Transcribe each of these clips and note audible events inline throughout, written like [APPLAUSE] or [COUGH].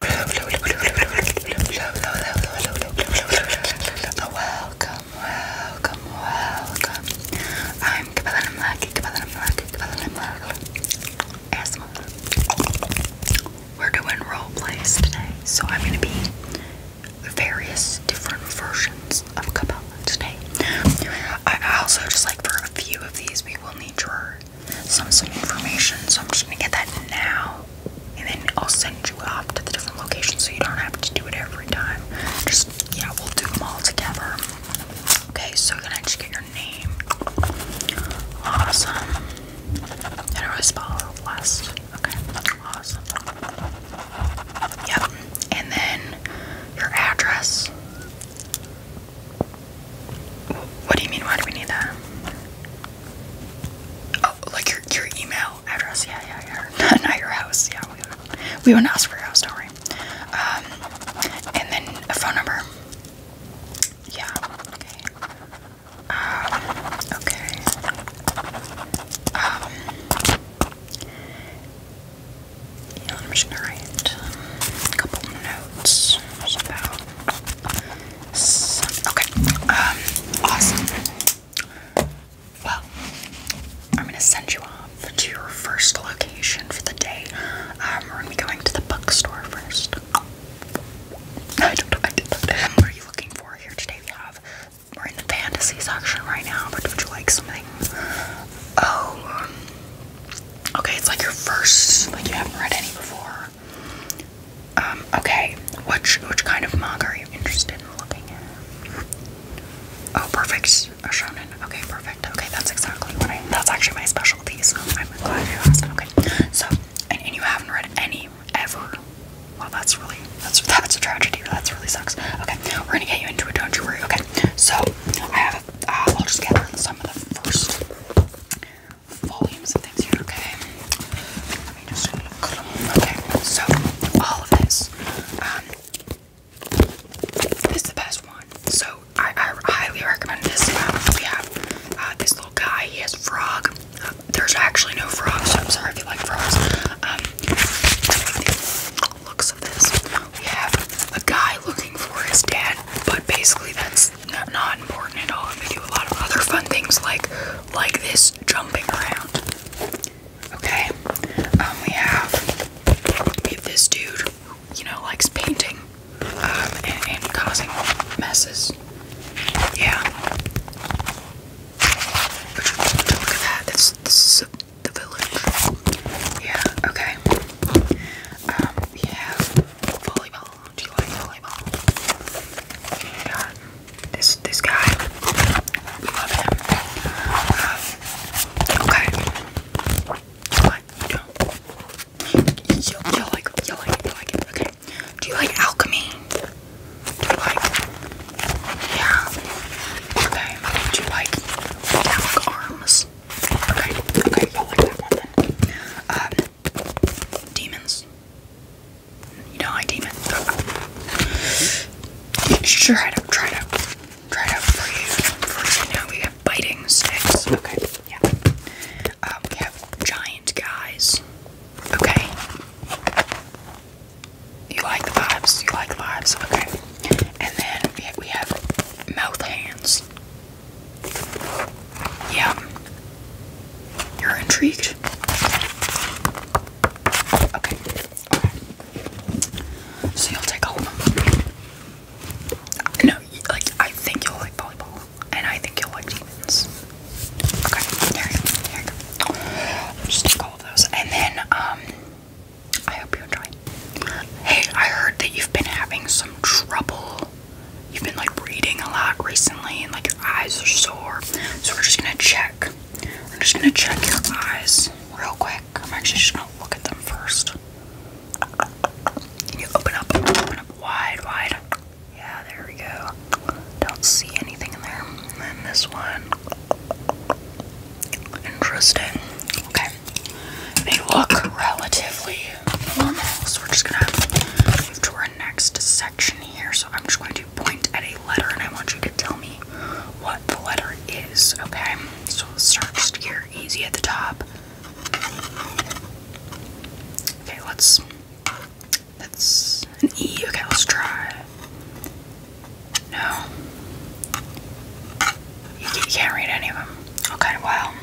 Welcome, welcome, welcome. I'm Kabbalah Malaki, Kabbalah Malaki, Kabbalah Malaki. Asthma. We're doing role plays today, so I'm going to be various different versions of Kabbalah today. I also, just like for a few of these, we will need your some some information. So I'm just gonna get that now, and then I'll send you off to the different locations so you don't have to do it every time. Just yeah, we'll do them all together. Okay, so can I just get your name? Awesome. How do I spell last? Okay, awesome. Yep, and then your address. What do you mean? Why do we need that? Oh, like your your email address? Yeah, yeah, yeah. [LAUGHS] Not at your house. Yeah, we we wouldn't ask for your house. Don't worry. Um, and then a phone number. Yeah. Okay. Um. Okay. Um. Yeah, I'm a couple notes about okay. Um, awesome. Well, I'm gonna send you off to your first location for the day. Um, we're gonna be going to the bookstore first. What are you looking for here today? We have we're in the fantasy section right now, but would you like something? Oh, um, okay. It's like your first, like you haven't read any before. Um, okay, which which kind of manga are you interested in looking at? Oh, perfect, a shonen. Okay, perfect. Okay, that's exactly what I. That's actually my specialty, so I'm glad you asked. Okay, so and, you haven't read any ever. Well, that's really that's that's a tragedy. That's really sucks. Okay, we're gonna get you into it. Don't you worry. Okay, so I have. Uh, I'll just gather some of the first volumes of things here, okay? Let me just look. Okay, so all of this. Um, this is the best one. So I, I highly recommend this. Um, we have uh, this little guy. He has a frog. Uh, there's actually no frogs, so I'm sorry if you like frogs. Um, looks of this. We have a guy looking for his dad, but basically that's not important at all. And they do a lot of other fun things like like this jumping around. Okay, um, we have if this dude, you know, likes painting um, and, causing messes. Yeah. look at that. This, the village. Yeah. Okay. Um, we have volleyball. Do you like volleyball? And, this this guy, we love him. Um, okay. What? You do You, you, like you like you like it. Okay. Do you like alchemy? Do you like? Yeah. Okay. Do you like metallic arms? Okay. Okay. Demons. You know, I like demons. Sure, try it out. Try it out. Try it out for you. First, now we have biting sticks. Okay. Yeah. Um, we have giant guys. Okay. You like the vibes. You like the vibes. Okay. And then we have mouth hands. Yeah. You're intrigued? Okay. So you'll take all of them. No, like I think you'll like volleyball, and I think you'll like demons. Okay, here you go. Here you go. Just take all of those, and then um, I hope you enjoy. Hey, I heard that you've been having some trouble you've been like reading a lot recently and like your eyes are sore. So we're just gonna check. We're just gonna check your eyes real quick. I'm actually just gonna look at them first. Can you open up, open up wide, wide? Yeah, there we go. Don't see anything in there. And this one. Interesting. Okay, they look relatively normal, so we're just gonna move to our next section here. So I'm just going to point at a letter and I want you to tell me what the letter is, okay? So let's start just here, easy at the top. Okay, let's. That's an E. Okay, let's try. No. You, you can't read any of them. Okay, wow.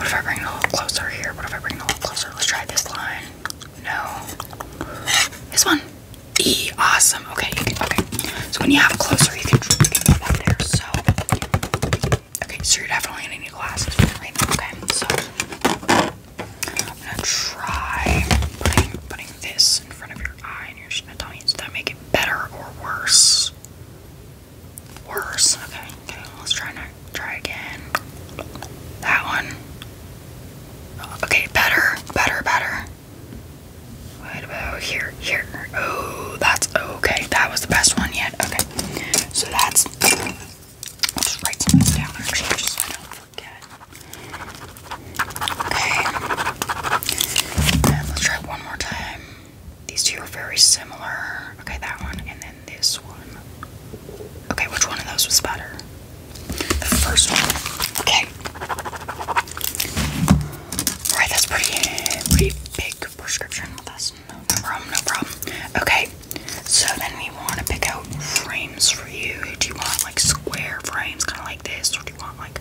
What if I bring it a little closer here? What if I bring it a little closer? Let's try this line. No. This one. E. Awesome. Okay. okay. So when you have it closer, you can, you can put that there. So. Okay. So you're definitely gonna need glasses for that right now. Okay. So I'm gonna try putting this in front of your eye and you're your tummy. Does that make it better or worse? worse. Okay, okay, let's try not try again. That one. Okay, better, better, better. What about oh, here? Here. Oh, that's okay. That was the best one yet. Okay. So that's I'll just write some of this down actually just so I don't forget. Okay. let's try one more time. These two are very similar. Okay, that one, and then this one. Okay, which one of those was better? The first one. Okay. Alright, that's pretty, pretty big prescription. That's no, problem, no problem. Okay, so then we want to pick out frames for you. Do you want like square frames, kind of like this, or do you want like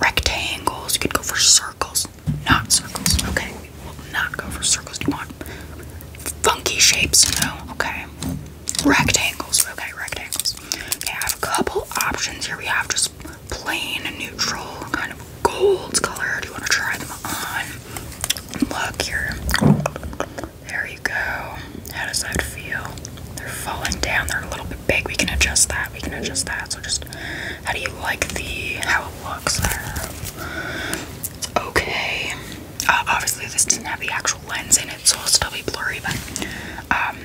rectangles? You could go for circles. Not circles. Okay. We will not go for circles. Do you want funky shapes? No. Okay. Rectangles. Okay, rectangles. Okay, I have a couple options here. We have just plain neutral kind of gold color. Do you want to try them on? Look here. There you go. How does that feel? They're falling down. They're a little bit big. We can adjust that. We can adjust that. So just how do you like the how it looks there? Okay. Uh, obviously, this doesn't have the actual lens in it, so it's will still be blurry. But um,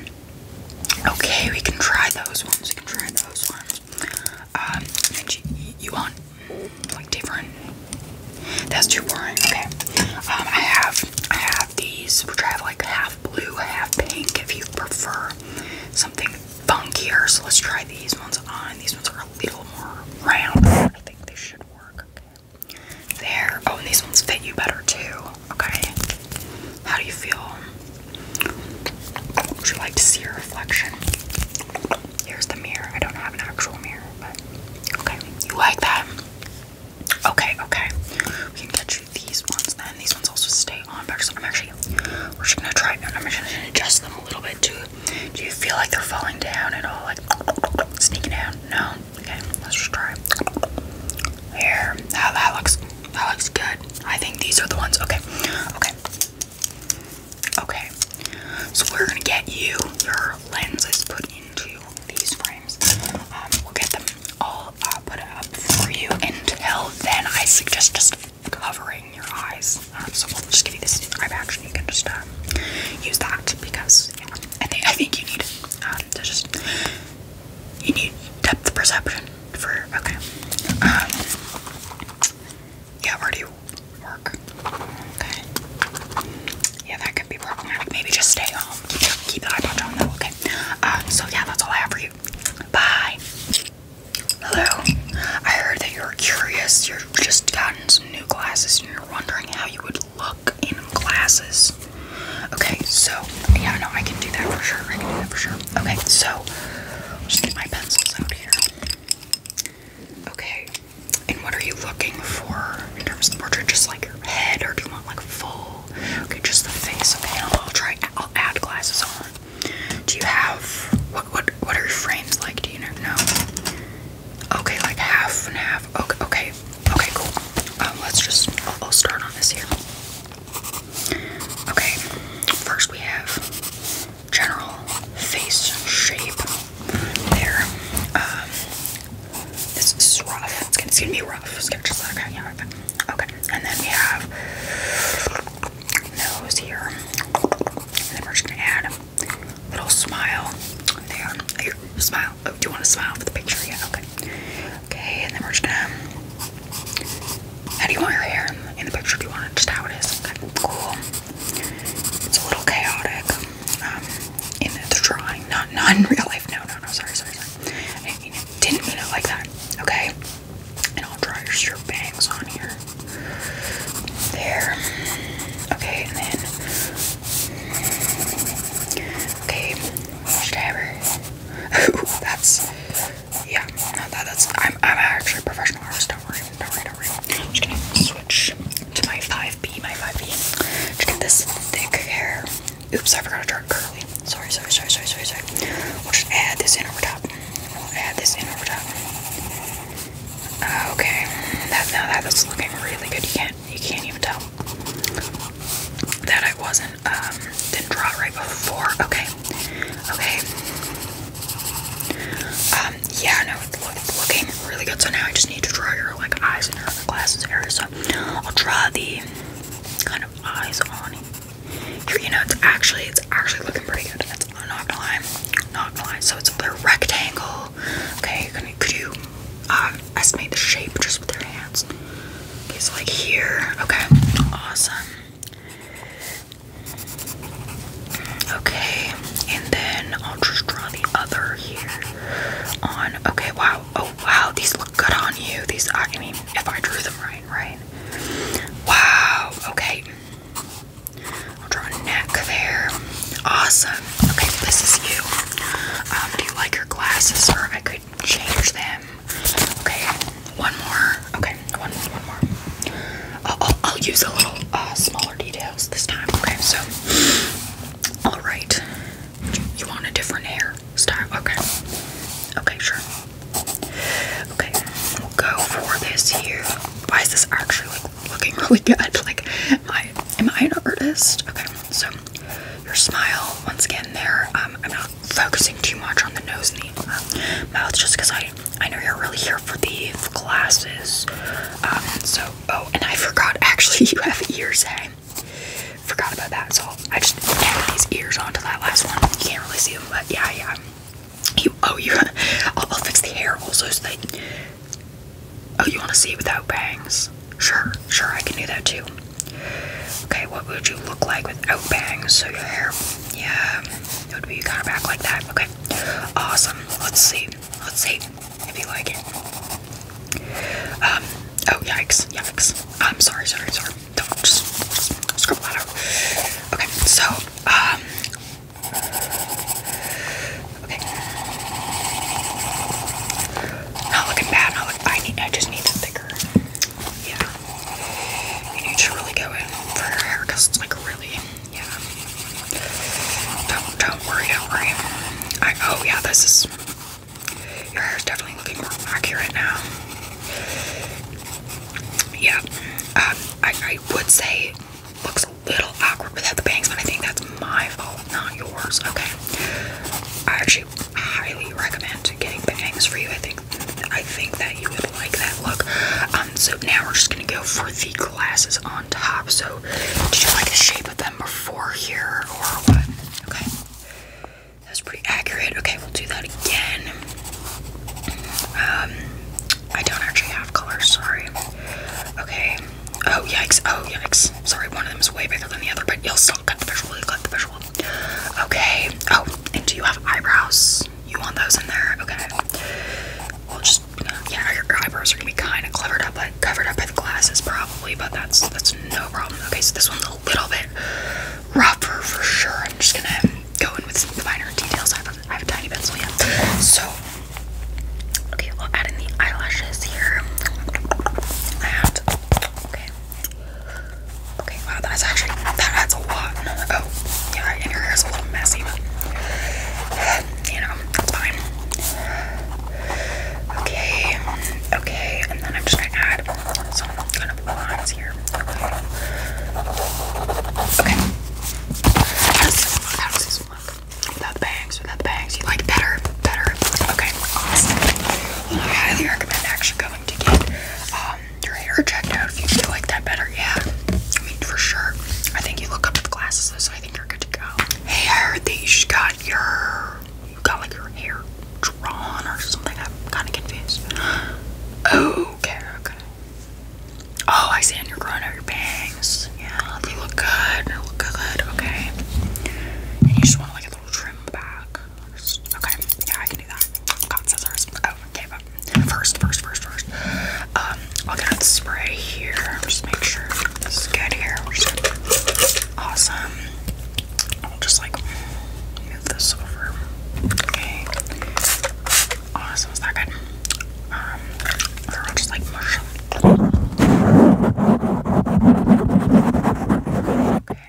okay, we can try those ones. We can try those ones. Um, and you, want like different? That's too boring. Okay. Um, I have I have these, which I have like half blue, half pink. If you prefer something funkier. So let's try these ones on. These ones are a little more round. I think they should work. Okay. There. Oh, and these ones fit you better too. Okay. How do you feel? Would you like to see your reflection? Here's the mirror. I don't have an actual mirror, but okay. You like that? Okay, okay. We can get you these ones then. These ones also stay on better. So I'm actually we're just gonna try, and I'm just gonna adjust them a little bit too. Do you feel like they're falling down at all? Like sneaking down? No. Okay, let's just try. Here. That, that looks. That looks good. I think these are the ones. Okay. Okay. Okay. So we're gonna get you your lenses put into these frames. Um, we'll get them all uh, put up for you. Until then, I suggest just covering your eyes. Um, so we'll just give you this eye action. You can just um, use that because I think you need um, to just you need depth perception for okay. yeah, where do you work? Okay. Yeah, that could be problematic. Maybe just stay home. Keep, the eye patch on though. Okay. Uh, so yeah, that's all I have for you. Bye. Hello. I heard that you're curious. You've just gotten some new glasses and you're wondering how you would look in glasses. Okay, so yeah, no, I can do that for sure. I can do that for sure. Okay, so I'll just get my pencils out here. Okay. And what are you looking for in terms of portrait? Just like your head or do you want like a full? Okay, just the face. Okay, I'll try I'll add glasses on. Do you have what what what are your frames like? Do you know? No. Okay, like half and half. Okay, okay, okay, cool. Um, let's just I'll, start on this here. Okay, first we have general face shape. There. Um, this is rough. It's gonna, it's gonna be rough. It's gonna just let Okay, and then we have nose here. And then we're just gonna add a little smile there. Here, smile. Oh, do you want to smile for the picture? Yeah, okay. Okay, and then we're just gonna. How do you want your hair in the picture? Do you want it just how it is? Okay, cool. It's a little chaotic um, in the drawing, not, not in real life. No, no, no. Sorry, sorry, sorry. didn't mean it, didn't mean it like that. Okay. And I'll dry your bangs on here. There. Okay, and then. Okay, stabber. Ooh, [LAUGHS] that's. Yeah, no, that's. I'm, I'm actually a professional artist. Don't worry, don't worry, don't worry. I'm just gonna switch to my 5B, my 5B. To get this thick hair. Oops, I forgot to draw curly. Sorry, sorry, sorry, sorry, sorry, sorry. We'll just add this in over top. We'll add this in over top. Okay. That now that is looking really good. You can't you can't even tell that I wasn't um didn't draw it right before. Okay. Okay. Um, yeah, no, it's, it's looking really good. So now I just need to draw your like eyes and your glasses area. So I'll draw the kind of eyes on it. You know, it's actually it's actually looking pretty good. That's not going not going So it's a rectangle. Okay, could you um, estimate the shape just with your hands? Okay, so like here. Okay, awesome. Okay, and then I'll just draw the other here on. Okay, wow. Oh wow, these look good on you. These, I mean, if I drew them right right, Wow, okay. I'll draw a neck there. Awesome. Okay, this is you. Um, do you like your glasses or I could change them? Okay, one more. Okay, one more, one more. I'll, use a little uh, smaller details this time. Okay, so, all right. you want a different hair style? Okay. Okay, sure. Okay, go for this here. Why is this actually looking really good? [LAUGHS] Like, am I an artist? Okay, so your smile once again there. Um, I'm not focusing too much on the nose and the uh, mouth just because I I know you're really here for the glasses. Um, so oh, and I forgot [LAUGHS] actually you have ears. Hey, forgot about that. So I just added these ears onto that last one. You can't really see them, but yeah, yeah. You, oh, you. I'll, I'll fix the hair also so that. Oh, you want to see it without bangs? Sure, sure, I can do that too. Okay, what would you look like without bangs? So your hair, yeah, it would be kind of back like that. Okay, awesome. Let's see. Let's see if you like it. Um. Oh yikes, yikes. I'm sorry, sorry, sorry don't just scribble that Okay, so um okay. Not looking bad, not look I need I just need to thicker. Yeah. You need to really go in for your hair because it's like really yeah. Don't don't worry, don't worry. I oh yeah, this is your hair is definitely looking more accurate now. Yeah, um, I, I would say it looks a little awkward without the bangs, but I think that's my fault, not yours. Okay, I actually highly recommend getting bangs for you. I think I think that you would like that look. Um, so now we're just gonna go for the glasses on top. So, did you like the shape of them before here or what? Okay. That's pretty accurate. Okay, we'll do that again. Um, I don't actually have colors, sorry. Okay. Oh, yikes. Oh, yikes. Sorry, one of them is way bigger than the other, but you'll still get the visual. You'll cut the visual. Okay. Oh, and do you have eyebrows? You want those in there? Okay. We'll just, yeah, your eyebrows are gonna be kind of covered up, like covered up by the glasses probably, but that's that's no problem. Okay, so this one's a a little bit rougher for sure. I'm just gonna go in with some finer details. I have a tiny pencil, yeah. So, okay, we'll add in the eyelashes here. okay. Okay, wow, that's actually, that adds a lot. Oh, yeah, and your hair's a little messy, but, you know, it's fine. Okay, okay, and then I'm just gonna add some kind of lines here here. Okay. How does this look? Without the bangs, without bangs. You like better, better. Okay, awesome. Well, I highly recommend actually going to get um, your hair checked out if you feel like that better. Yeah, I mean, for sure. I think you look up to the glasses, so I think you're good to go. Hey, I heard that you just got your, you got like your hair drawn or something. I'm kind of confused. Oh, okay, okay. Oh, I see. And you're growing out your bangs. Yeah, they look good. They look good. Okay. And you just want like a little trim back. Okay. Yeah, I can do that. Got scissors. Oh, okay. But first, first, first, first. Um, I'll get a spray here. Just make sure this is good here. Awesome. I'll just like this over. Okay. Awesome, that good? Um, they just like mush. Okay.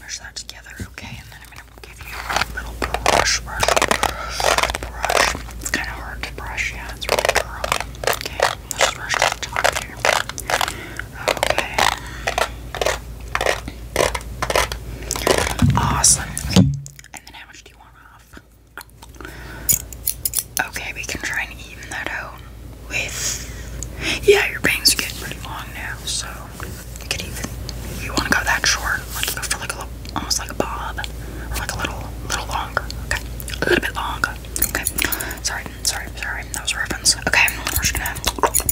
Mush that together, okay? And then I'm gonna give you a little brush, brush, It's kind of hard to brush, yeah, it's really curly. Okay, let's brush the top here. Okay. Awesome. And then how much do you want off? Okay, we can try and even that out with. Yeah, your bangs are getting pretty long now, so you even. you want to go that short, like go for like a little, almost like a bob, or like a little, little longer. Okay, a little bit longer. Okay. Sorry, sorry, sorry. That was a Okay,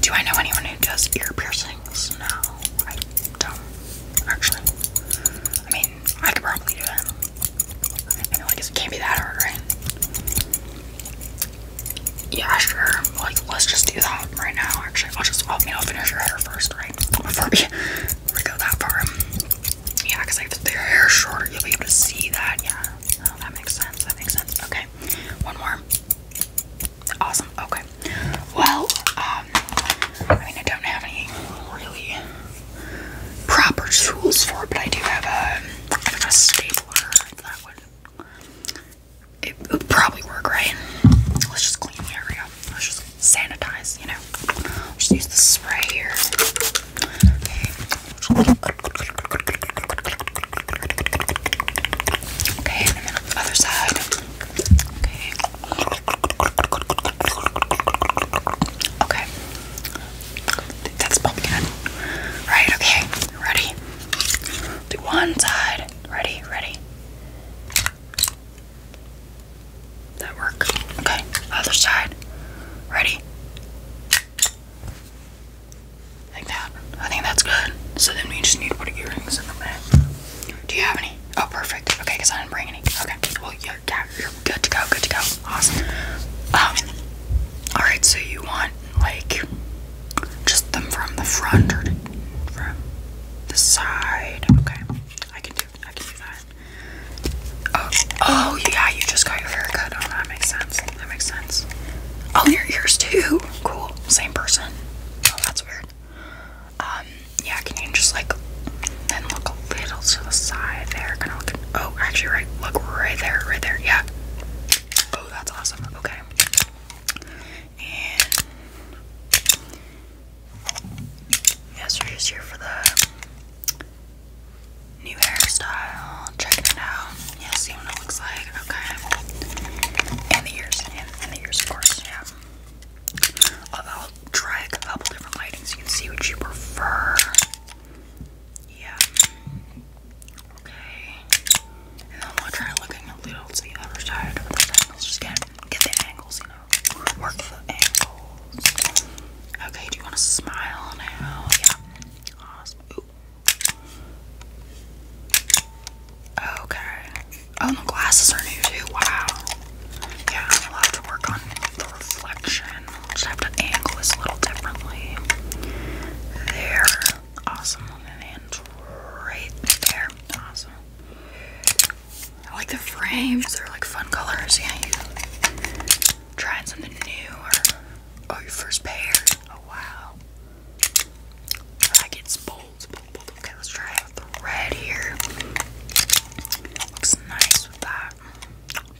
Do I know anyone who does ear piercings? No, I don't actually. I mean, I could probably do that. I guess it can't be that hard, right? Yeah, sure. Like, let's just do that right now. Actually, I'll just, i me you know, finish your hair first, right? Before we, before [LAUGHS] we go that far. Yeah, because if their hair is shorter, you'll be able to see that. Yeah, oh, that makes sense. That makes sense. Okay one more. Awesome. Okay. Well, um, I mean, I don't have any really proper tools for it, but I do have a, I have a stapler that would it would probably work, right? Let's just clean the area. Let's just sanitize, you know. Just use the spray here. Okay, Okay, other side. Okay. Okay. That's pumpkin. Right, okay. Ready? Do one side. Ready, ready. That work. Okay. Other side. Ready. Like that. I think that's good. So then we just need to put earrings in the back. Do you have any? Oh, perfect. Okay, because I didn't bring any. Okay. Well, you're, you're good to go. Good to go. Awesome. Um. All right. So you want like just them from the front or from the side? Okay. I can do. I can do that. Oh. Oh yeah. You just got your hair cut. Oh, that makes sense that makes sense. Oh, your ears too. Cool. Same person. Oh, that's weird. Um, yeah, can you just like then look a little to the side there? Kind of look. Oh, actually, right. Look right there, right there. Yeah. Oh, that's awesome. Okay. And yes, yeah, for the New hairstyle. Checking it out. Yeah, see what it looks like. Okay. And the ears. And, the ears, of course. Yeah. I'll, try a couple different lightings so you can see what you prefer. Yeah. Okay. And then we'll try looking a little to the other side of the angles. Just get, get the angles, you know. Work the angles. Okay, do you want to smile now? Yeah. Awesome. Okay. Oh, the glasses are new too. Wow. Yeah, I'll have to work on the reflection. just have to angle this a little differently. There. Awesome. And right there. Awesome. I like the frames. They're like fun colors. Yeah, trying something new or oh your first pair. Oh wow. I like it's bold, bold, bold. Okay, let's try the red here. Looks nice with that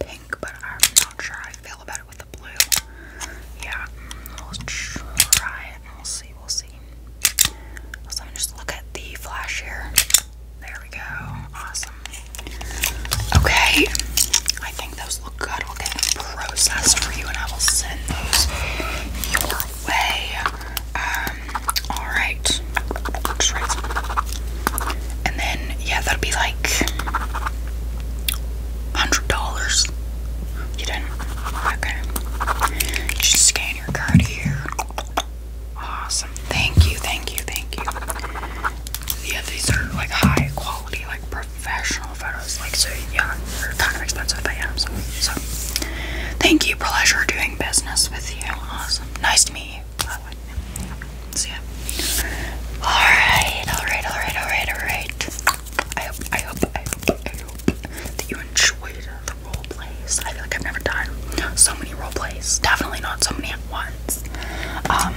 pink, but I'm not sure I feel about it with the blue. Yeah, we'll try it. We'll see. We'll see. let me just look at the flash here. There we go. Awesome. Okay, I think those look good. We'll get them processed for you and I will send those your way. Um, alright. And then, yeah, that'll be like $100. You did Okay. You just scan your card here. Awesome. Thank you, thank you, thank you. Yeah, these are like high quality, like professional photos, like so yeah, they're kind of expensive, but yeah, so thank you, pleasure doing business with you. Awesome. Nice to meet you. By the Alright, alright, alright, alright, alright. I hope I hope I hope I hope that you enjoyed the role plays. I feel like I've never done so many role plays. Definitely not so many at once. Um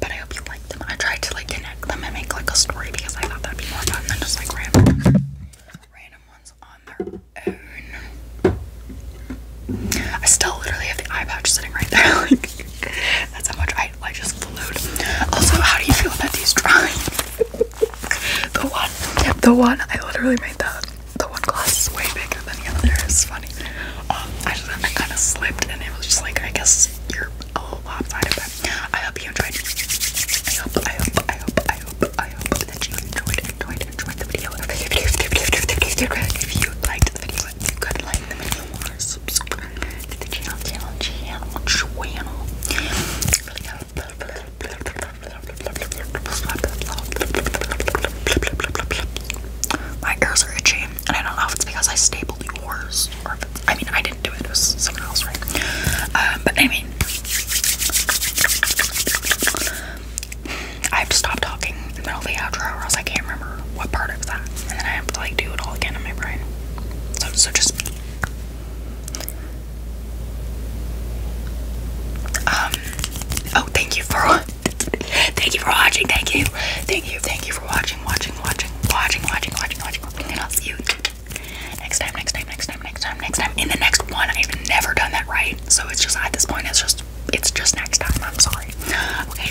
but I hope you like them. I tried to like connect them and make like a story because I thought that'd be more fun than just like random ones on their own. I still literally have the eye patch sitting right there. [LAUGHS] Like that's how much I I just flued. Also, how do you feel about these drawings? the one the one I literally made that the one glass is way bigger than the other. It's funny funny. Um, I just I kind of slipped, and it was just like I guess you're a little lopsided, but I hope you enjoyed. I hope, I hope, I hope, I hope, I hope that you enjoyed, enjoyed, enjoyed the video. If you liked the video, if you could like the video or subscribe to the channel, channel, channel, channel. My ears are itchy. And I don't know if it's because I stapled yours or if I mean, I didn't do it, it was someone else, right? Um, but I mean, I have to stop talking in the middle of the outro or else I can't remember what part of that. And then I have to like do it all again in my brain. so just. Um, oh, thank you for Thank you for watching. Thank you. Thank you. Thank you for watching, watching, watching, watching, watching, watching, watching. And I'll see you next time, next time, next time, next time, next time. In the next one, I've never done that right. So it's just at this point, it's just it's just next time. I'm sorry. Okay.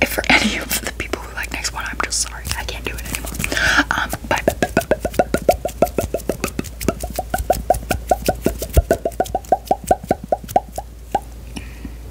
If for any of the people who like next one, I'm just sorry. I can't do it anymore. Um, bye. bye, bye, bye, bye, bye, bye, bye, bye, bye, bye.